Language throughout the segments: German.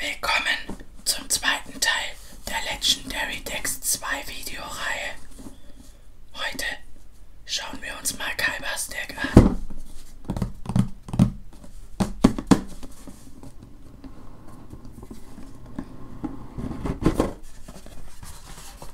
Willkommen zum zweiten Teil der Legendary Dex 2 Videoreihe. Heute schauen wir uns mal Kaibas Deck an.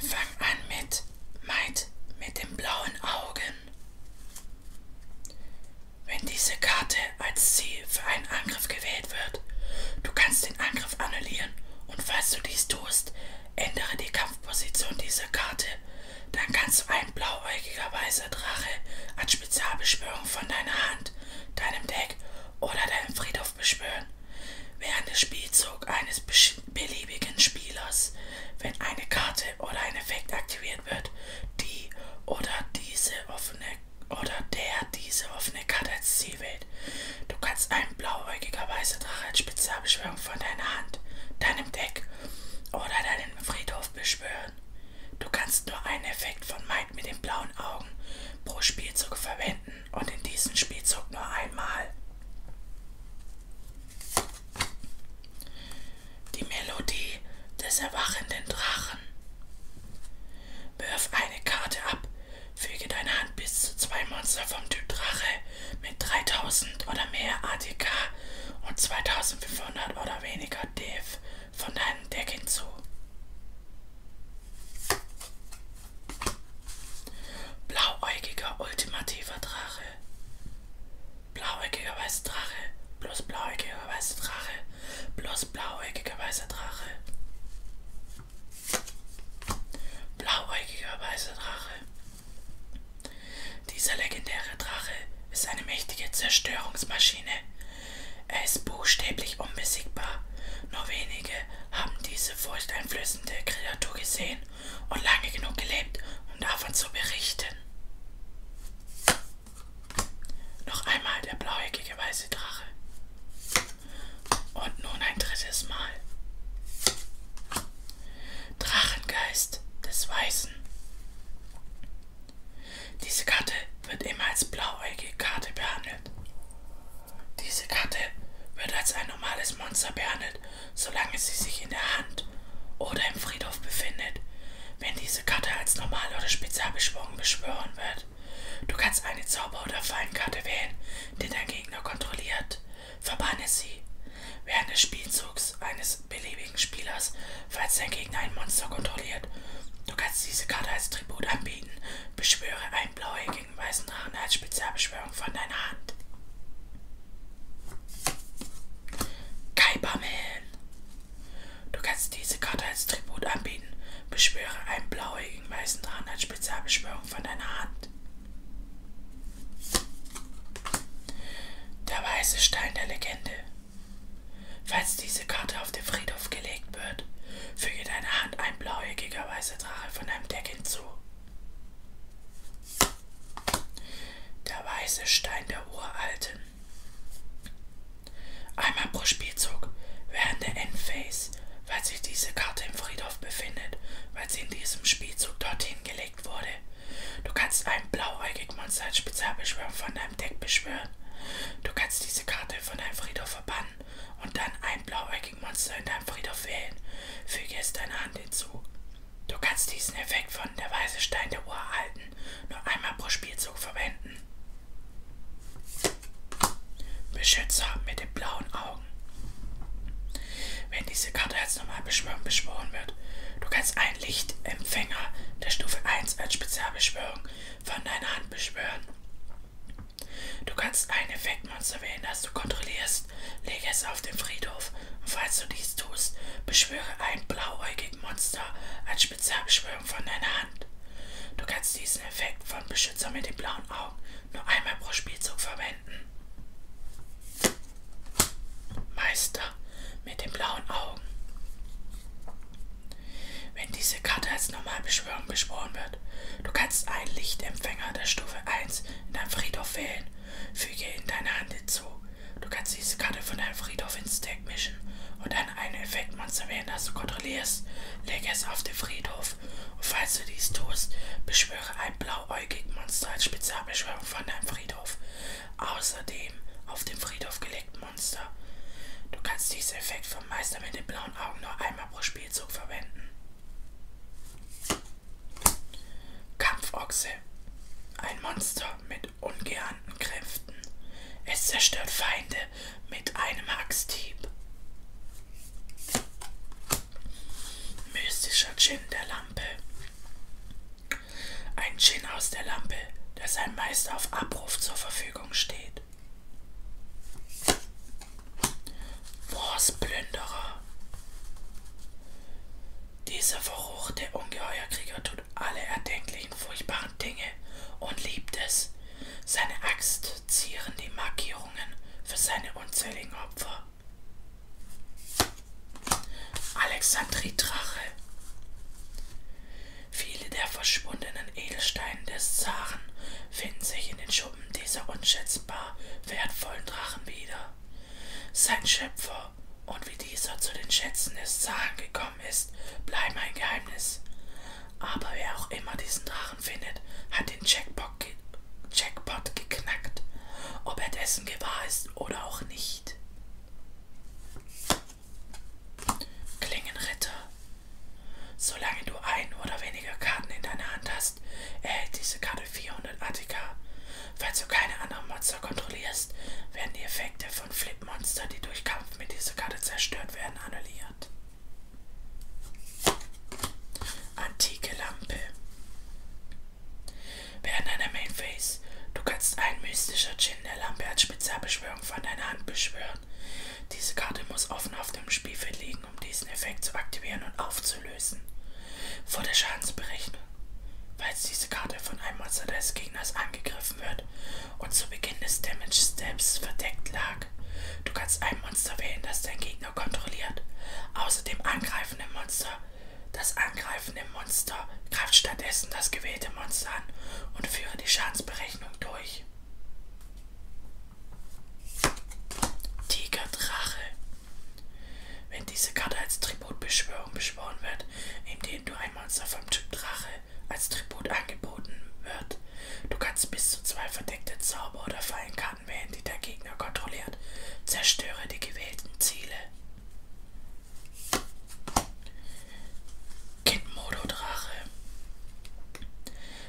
Wir fangen an mit Maid mit den blauen Augen. Wenn diese Karte als Ziel für einen Angriff gewählt wird, du kannst den Angriff annullieren und falls du dies tust, ändere die Kampfposition dieser Karte. Dann kannst du einen blauäugiger weißer Drache als Spezialbeschwörung von deiner Hand, deinem Deck oder deinem Friedhof beschwören. Während des Spielzugs eines beliebigen Spielers, wenn eine Karte oder ein Effekt aktiviert wird, die oder diese offene oder der diese offene Karte als Ziel wählt. Du kannst einen blauäugiger weißer Drache als Spezialbeschwörung von deiner Hand, deinem Deck oder deinem Friedhof beschwören. Du kannst nur einen Effekt von meinem Einheit mit den blauen Augen pro Spielzug verwenden und in diesem Spielzug nur einmal. Die Melodie des erwachenden Drachen. Wirf eine Karte ab, füge deine Hand bis zu zwei Monster vom Typ Drache mit 3000 oder mehr ATK und 2500 oder weniger DF von deinem Deck hinzu. Blauäugiger ultimativer Drache. Blauäugiger weißer Drache. Plus blauäugiger weißer Drache. Plus blauäugiger weißer Drache. Blauäugiger weißer Drache. Dieser legendäre Drache ist eine mächtige Zerstörungsmaschine er ist buchstäblich unbesiegbar. Nur wenige haben diese furchteinflößende Kreatur gesehen und lange genug gelebt, um davon zu berichten. Noch einmal der blauäugige weiße Drache. Und nun ein drittes Mal. Drachengeist des Weißen. Diese Karte wird immer als blauäugige Karte behandelt. Diese Karte wird als ein normales Monster behandelt, solange sie sich in der Hand oder im Friedhof befindet. Wenn diese Karte als normal oder spezial beschworen beschwören wird, du kannst eine Zauber- oder Feinkarte wählen, die dein Gegner kontrolliert. Verbanne sie. Während des Spielzugs eines eines beliebigen Spielers, falls dein Gegner ein Monster kontrolliert. Du kannst diese Karte als Tribut anbieten. Beschwöre einen blauäugigen weißen Drachen als Spezialbeschwörung von deiner Hand. Kaiperman. Du kannst diese Karte als Tribut anbieten. Beschwöre einen blauäugigen weißen Drachen als Spezialbeschwörung von deiner Hand. Der weiße Stein der Legende. Falls diese Karte auf dem Friedhof gelegt wird, füge deiner Hand ein blauäugiger weißer Drache von einem Deck hinzu. Der weiße Stein der Uralten. Einmal pro Spielzug während der Endphase, weil sich diese Karte im Friedhof befindet, weil sie in diesem Spielzug dorthin gelegt wurde. Du kannst einen blauäugigen Gegmonster als Spezialbeschwörung von deinem Deck beschwören. Du kannst diese Karte von deinem Friedhof verbannen und dann ein blauäugiges Monster in deinem Friedhof wählen. Füge es deiner Hand hinzu. Du kannst diesen Effekt von der Weiße Stein der Uralten nur einmal pro Spielzug verwenden. Beschützer mit den blauen Augen. Wenn diese Karte als normale Beschwörung beschworen wird, du kannst ein ein Lichtempfänger der Stufe 1 als Spezialbeschwörung von deiner Hand beschwören. Du kannst ein Effektmonster wählen, das du kontrollierst. Lege es auf den Friedhof und falls du dies tust, beschwöre ein blauäugiges Monster als Spezialbeschwörung von deiner Hand. Du kannst diesen Effekt von Beschützer mit den blauen Augen nur einmal pro Spielzug verwenden. Meister mit den blauen Augen. Wenn diese Karte als Normalbeschwörung beschworen wird, du kannst einen Lichtempfänger der Stufe 1 in deinem Friedhof wählen. Füge ihn deiner Hand hinzu. Du kannst diese Karte von deinem Friedhof ins Deck mischen und dann ein Effektmonster wählen, das du kontrollierst. Lege es auf den Friedhof und falls du dies tust, beschwöre ein blauäugiges Monster als Spezialbeschwörung von deinem Friedhof außerdem auf dem Friedhof gelegten Monster. Du kannst diesen Effekt vom Meister mit den blauen Augen nur einmal pro Spielzug verwenden. Kampfochse. Ein Monster mit ungeahnten Kräften. Es zerstört Feinde mit einem Axthieb. Mystischer Djinn der Lampe. Ein Gin aus der Lampe, der seinem Meister auf Abruf zur Verfügung steht. Wurstplünderer. Dieser verruchte Ungeheuerkrieger tut alle erdenklichen furchtbaren Dinge und liebt es. Seine Axt zieren die Markierungen für seine unzähligen Opfer. Alexandrie Drache. Viele der verschwundenen Edelsteine des Zaren finden sich in den Schuppen dieser unschätzbar wertvollen Drachen wieder. Sein Schöpfer und wie dieser zu den Schätzen des Zaren gekommen ist, bleiben ein Geheimnis. Aber wer auch immer diesen Drachen findet, hat den Jackpot, ge Jackpot geknackt, ob er dessen gewahr ist oder auch nicht. Klingenritter. Solange du ein oder weniger Karten in deiner Hand hast, erhält diese Karte 400 ATK. Falls du keine anderen Monster kontrollierst, werden die Effekte von Flip-Monster, die durch Kampf mit dieser Karte zerstört werden, annulliert. Antike Lampe. Während deiner Main Phase, du kannst einen mystischen Djinn der Lampe als Spezialbeschwörung von deiner Hand beschwören. Diese Karte muss offen auf dem Spielfeld liegen, um diesen Effekt zu aktivieren und aufzulösen. Vor der Schadensberechnung. Falls diese Karte von einem Monster des Gegners angegriffen wird und zu Beginn des Damage Steps verdeckt lag, du kannst ein Monster wählen, das dein Gegner kontrolliert. Außerdem angreifende Monster das angreifende Monster greift stattdessen das gewählte Monster an und führe die Schadensberechnung durch. Tigerdrache. Wenn diese Karte als Tributbeschwörung beschworen wird, indem du ein Monster vom Typ Drache als Tribut angeboten wird, du kannst bis zu zwei verdeckte Zauber- oder Fallenkarten wählen, die der Gegner kontrolliert. Zerstöre die gewählten Ziele. Kitmodo Drache.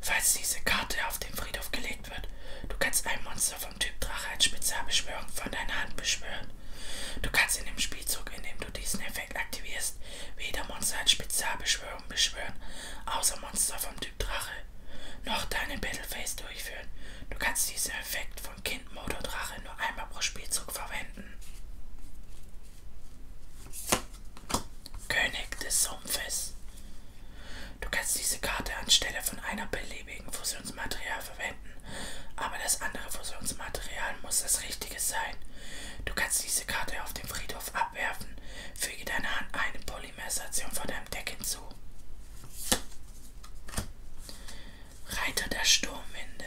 Falls diese Karte auf den Friedhof gelegt wird, du kannst ein Monster vom Typ Drache als Spezialbeschwörung von deiner Hand beschwören. Du kannst in dem Spielzug, in dem du diesen Effekt aktivierst, weder Monster als Spezialbeschwörung beschwören, außer Monster vom Typ Drache, noch deine Battlephase durchführen. Du kannst diesen Effekt von von Kind, Mode und Rache nur einmal pro Spielzug verwenden. König des Sumpfes. Du kannst diese Karte anstelle von einer beliebigen Fusionsmaterial verwenden, aber das andere Fusionsmaterial muss das richtige sein. Du kannst diese Karte auf dem Friedhof abwerfen. Füge deiner Hand eine Polymerisation von deinem Deck hinzu. Reiter der Sturmwinde.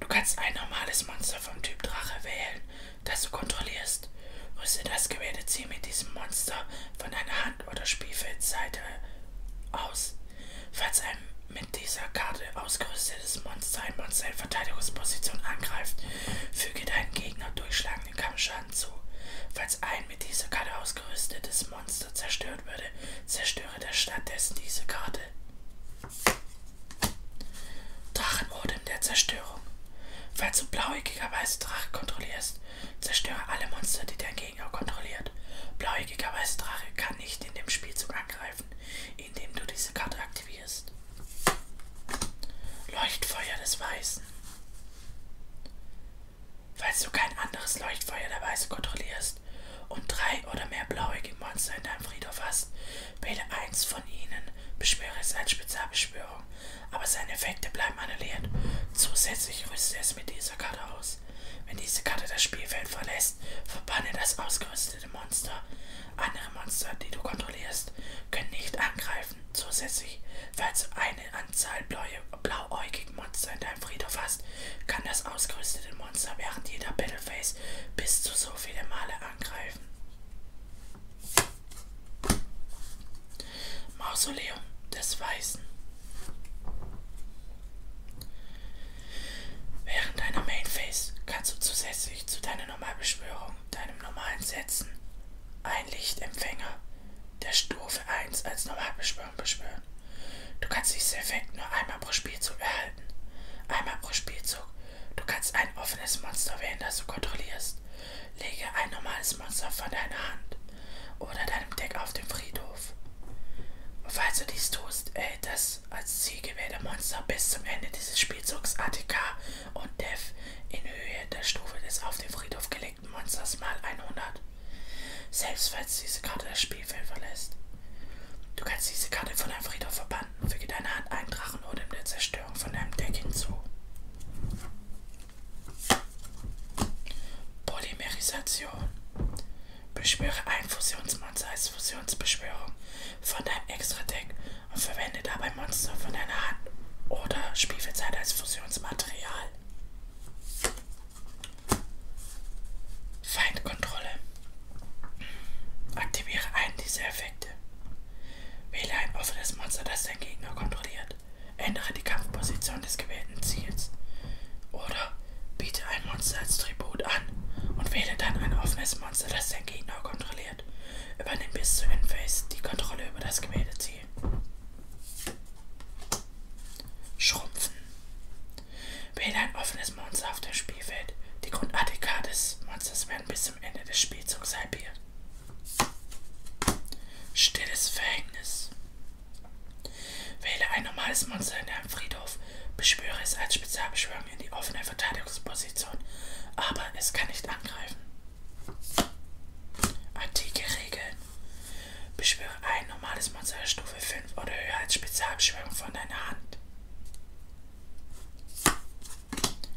Du kannst ein normales Monster vom Typ Drache wählen, das du kontrollierst. Rüste das gewählte Ziel mit diesem Monster von deiner Hand- oder Spielfeldseite aus. Falls ein mit dieser Karte ausgerüstetes Monster ein Monster in Verteidigungsposition angreift, füge deinem Gegner durchschlagenden Kampfschaden zu. Falls ein mit dieser Karte ausgerüstetes dieses Monster zerstört würde, zerstöre der stattdessen diese Karte. Drachenmodem der Zerstörung. Falls du blauäugigerweise Drache kontrollierst, zerstöre alle Monster, die dein Gegner kontrolliert. Blauäugigerweise Drache kann nicht in dem Spielzug angreifen, indem du diese Karte aktivierst. Leuchtfeuer des Weißen. Falls du kein anderes Leuchtfeuer der Weise kontrollierst und drei oder mehr blauäugige Monster in deinem Friedhof hast, wähle eins von ihnen, beschwöre es als Spezialbeschwörung, aber seine Effekte bleiben annulliert. Zusätzlich rüste es mit dieser Karte aus. Wenn diese Karte das Spielfeld verlässt, verbanne das ausgerüstete Monster. Andere Monster, die du kontrollierst, können nicht angreifen angreifen. Zusätzlich, falls du eine Anzahl blauäugiger Monster in deinem Friedhof hast, kann das ausgerüstete Monster während jeder Battlephase bis zu so viele Male angreifen. Mausoleum des Weißen. Während deiner Main Phase kannst du zusätzlich zu deiner normalen Beschwörung, deinem normalen Setzen ein Lichtempfänger der Stufe 1 als Normalbeschwörung beschwören. Du kannst diesen Effekt nur einmal pro Spielzug erhalten. Einmal pro Spielzug. Du kannst ein offenes Monster wählen, das du kontrollierst. Lege ein normales Monster von deiner Hand oder deinem Deck auf den Friedhof. Und falls du dies tust, erhält das als Ziel gewählte Monster bis zum Ende dieses Spielzugs ATK und Dev in Höhe der Stufe des auf den Friedhof gelegten perfekten Monsters mal 100. Selbst falls diese Karte das Spielfeld verlässt. Du kannst diese Karte von deinem Friedhof verbannen. Füge deiner Hand einen Drachen oder in der Zerstörung von deinem Deck hinzu. Polymerisation. Beschwöre ein Fusionsmonster als Fusionsbeschwörung von deinem Extra-Deck und verwende dabei Monster von deiner Hand oder Spielfeldzeit als Fusion. Konstruktionsmaterial. Feindkontrolle. Aktiviere einen dieser Effekte. Wähle ein offenes Monster, das dein Gegner kontrolliert. Ändere die Kampfposition des gewählten Ziels. Oder biete ein Monster als Tribut an und wähle dann ein offenes Monster, das dein Gegner kontrolliert. Übernimm bis zur Endphase die Kontrolle über das gewählte Ziel. Schrumpfen. Wähle ein offenes Monster auf dem Spielfeld. Die Grundattika des Monsters werden bis zum Ende des Spielzugs halbiert. Stilles Verhängnis. Wähle ein normales Monster in deinem Friedhof. Beschwöre es als Spezialbeschwörung in die offene Verteidigungsposition, aber es kann nicht angreifen. Antike Regeln. Beschwöre ein normales Monster Stufe 5 oder höher als Spezialbeschwörung von deiner Hand.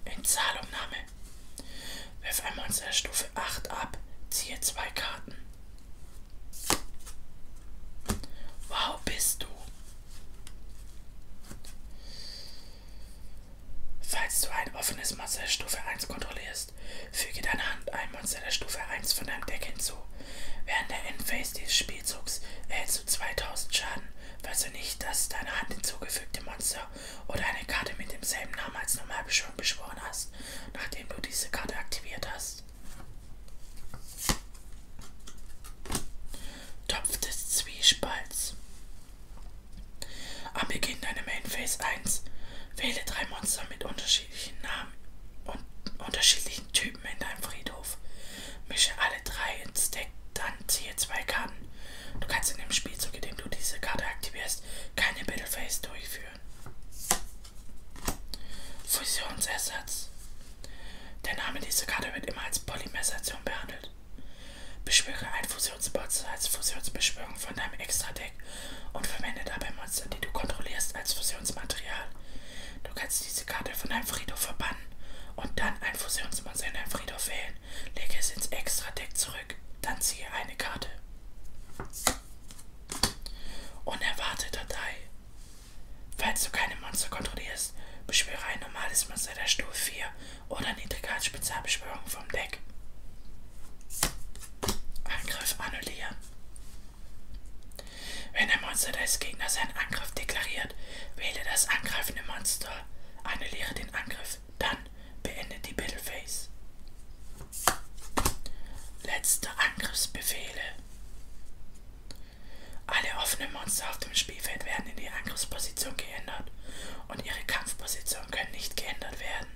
Entzahlungnahme. Wirf ein Monster Stufe 8 ab, ziehe zwei Karten. Wow, bist du? Falls du ein offenes Monster der Stufe 1 kontrollierst, füge deiner Hand ein Monster der Stufe 1 von deinem Deck hinzu. Während der Endphase dieses Spielzugs erhältst du 2000 Schaden, falls du nicht das deiner Hand hinzugefügte Monster oder eine Karte mit demselben Namen als Normalbeschwörung beschworen hast, nachdem du diese Karte aktiviert hast. Topf des Zwiespalts. Am Beginn deiner Main Phase 1 wähle drei Monster mit unterschiedlichen Namen und unterschiedlichen Typen in deinem Friedhof. Mische alle drei ins Deck, dann ziehe zwei Karten. Du kannst in dem Spielzug, in dem du diese Karte aktivierst, keine Battle Phase durchführen. Fusionsersatz. Der Name dieser Karte wird immer als Polymersation behandelt. Hand. Beschwöre ein Fusionsbot als Fusionsbeschwörung von deinem Extra-Deck und verwende dabei Monster, die du kontrollierst, als Fusionsmaterial. Du kannst diese Karte von deinem Friedhof verbannen und dann ein Fusionsmonster in deinem Friedhof wählen. Lege es ins Extra-Deck zurück, dann ziehe eine Karte. Unerwartete Datei. Falls du keine Monster kontrollierst, beschwöre ein normales Monster der Stufe 4 oder Niedrigkeitsspezialbeschwörung vom Deck. Angriff annullieren. Wenn ein Monster des Gegners seinen Angriff deklariert, wähle das angreifende Monster, annulliere den Angriff, dann beende die Battle Phase. Letzte Angriffsbefehle. Alle offenen Monster auf dem Spielfeld werden in die Angriffsposition geändert und ihre Kampfposition können nicht geändert werden.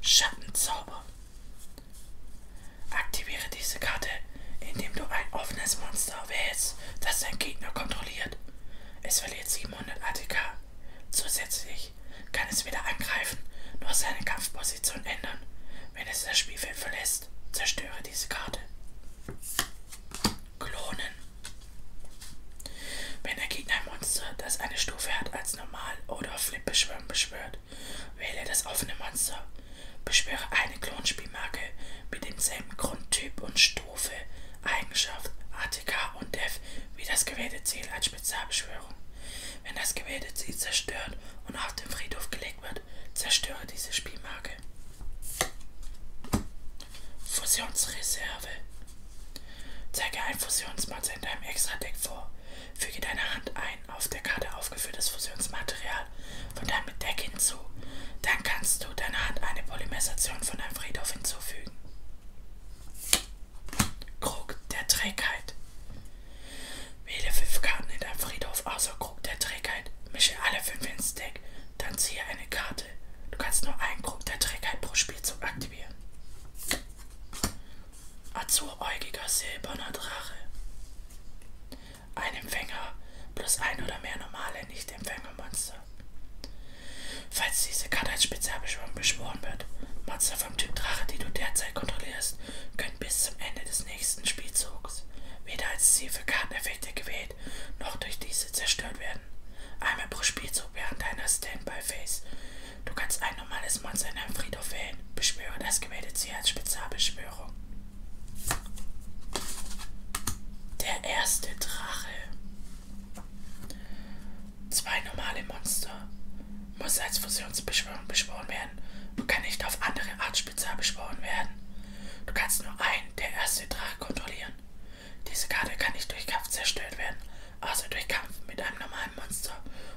Schattenzauber. Aktiviere diese Karte, indem du ein offenes Monster wählst, das dein Gegner kontrolliert. Es verliert 700 ATK. Zusätzlich kann es weder angreifen noch seine Kampfposition ändern. Wenn es das Spielfeld verlässt, zerstöre diese Karte. Klonen. Wenn der Gegner ein Monster, das eine Stufe hat, als normal oder Flip beschwören beschwört, wähle das offene Monster. Beschwöre eine Klonspielmarke mit demselben Grundtyp und Stufe, Eigenschaft, ATK und Def wie das gewählte Ziel als Spezialbeschwörung. Wenn das gewählte Ziel zerstört und auf den Friedhof gelegt wird, zerstöre diese Spielmarke. Frage. Fusionsreserve. Zeige ein Fusionspanzer in deinem Extra-Deck vor. Füge deine Hand ein auf der Karte aufgeführtes Fusionsmaterial von deinem Deck hinzu. Dann kannst du deiner Hand eine Polymerisation von einem Friedhof hinzufügen. Krug der Trägheit. Wähle fünf Karten in deinem Friedhof außer Krug der Trägheit. Mische alle fünf ins Deck. Dann ziehe eine Karte Karte. Du kannst nur einen Krug der Trägheit pro Spielzug aktivieren. Azuräugiger silberner Drache. Ein Empfänger plus ein oder mehr normale Nicht-Empfängermonster. Falls diese Karte als Spezialbeschwörung beschworen wird, Monster vom Typ Drache, die du derzeit kontrollierst, können bis zum Ende des nächsten Spielzugs wieder als Ziel für Karteneffekte gewählt Gerät noch durch diese zerstört werden. Einmal pro Spielzug während deiner Standby-Phase. Du kannst ein normales Monster in einem Friedhof wählen. Beschwöre das gewählte Ziel als Spezialbeschwörung. Der erste Drache. Zwei normale Monster. Muss als Fusionsbeschwörung beschworen werden und kann nicht auf andere Art Doppelspitzer beschworen werden. Du kannst nur einen der ersten drei kontrollieren. Diese Karte kann nicht durch Kampf zerstört werden, außer durch Kampf mit einem normalen Monster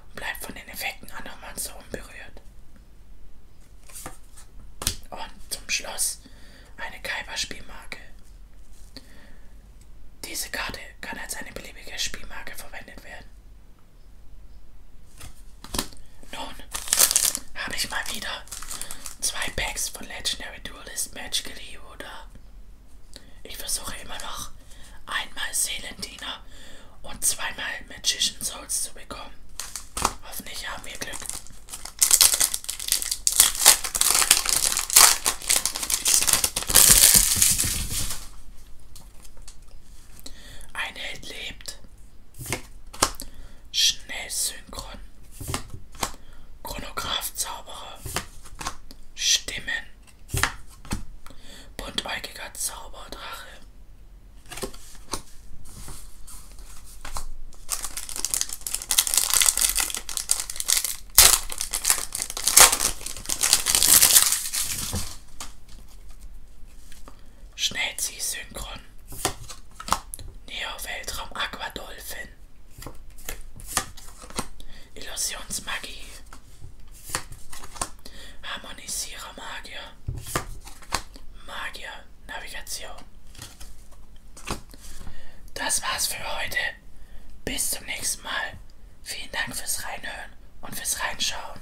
und bleibt von den Effekten anderer Monster unberührt. Und zum Schluss eine Kaiba-Spielmarke. Diese Karte kann als eine beliebige Spielmarke verwendet werden. Nun habe ich mal wieder zwei Packs von Legendary Duelist Match oder ich versuche immer noch einmal Seelendiener und zweimal Magician Souls zu bekommen. Hoffentlich haben wir Glück. Ein Held lebt. Schnell synchron. Chronograph Zauberer. Stimmen. Buntäugiger Zauberdrache. Schnellziehsynchron. Neo-Weltraum Aquadolphin. Illusionsmagie. Harmonisierer Magier. Magier Navigation. Das war's für heute. Bis zum nächsten Mal. Vielen Dank fürs Reinhören und fürs Reinschauen.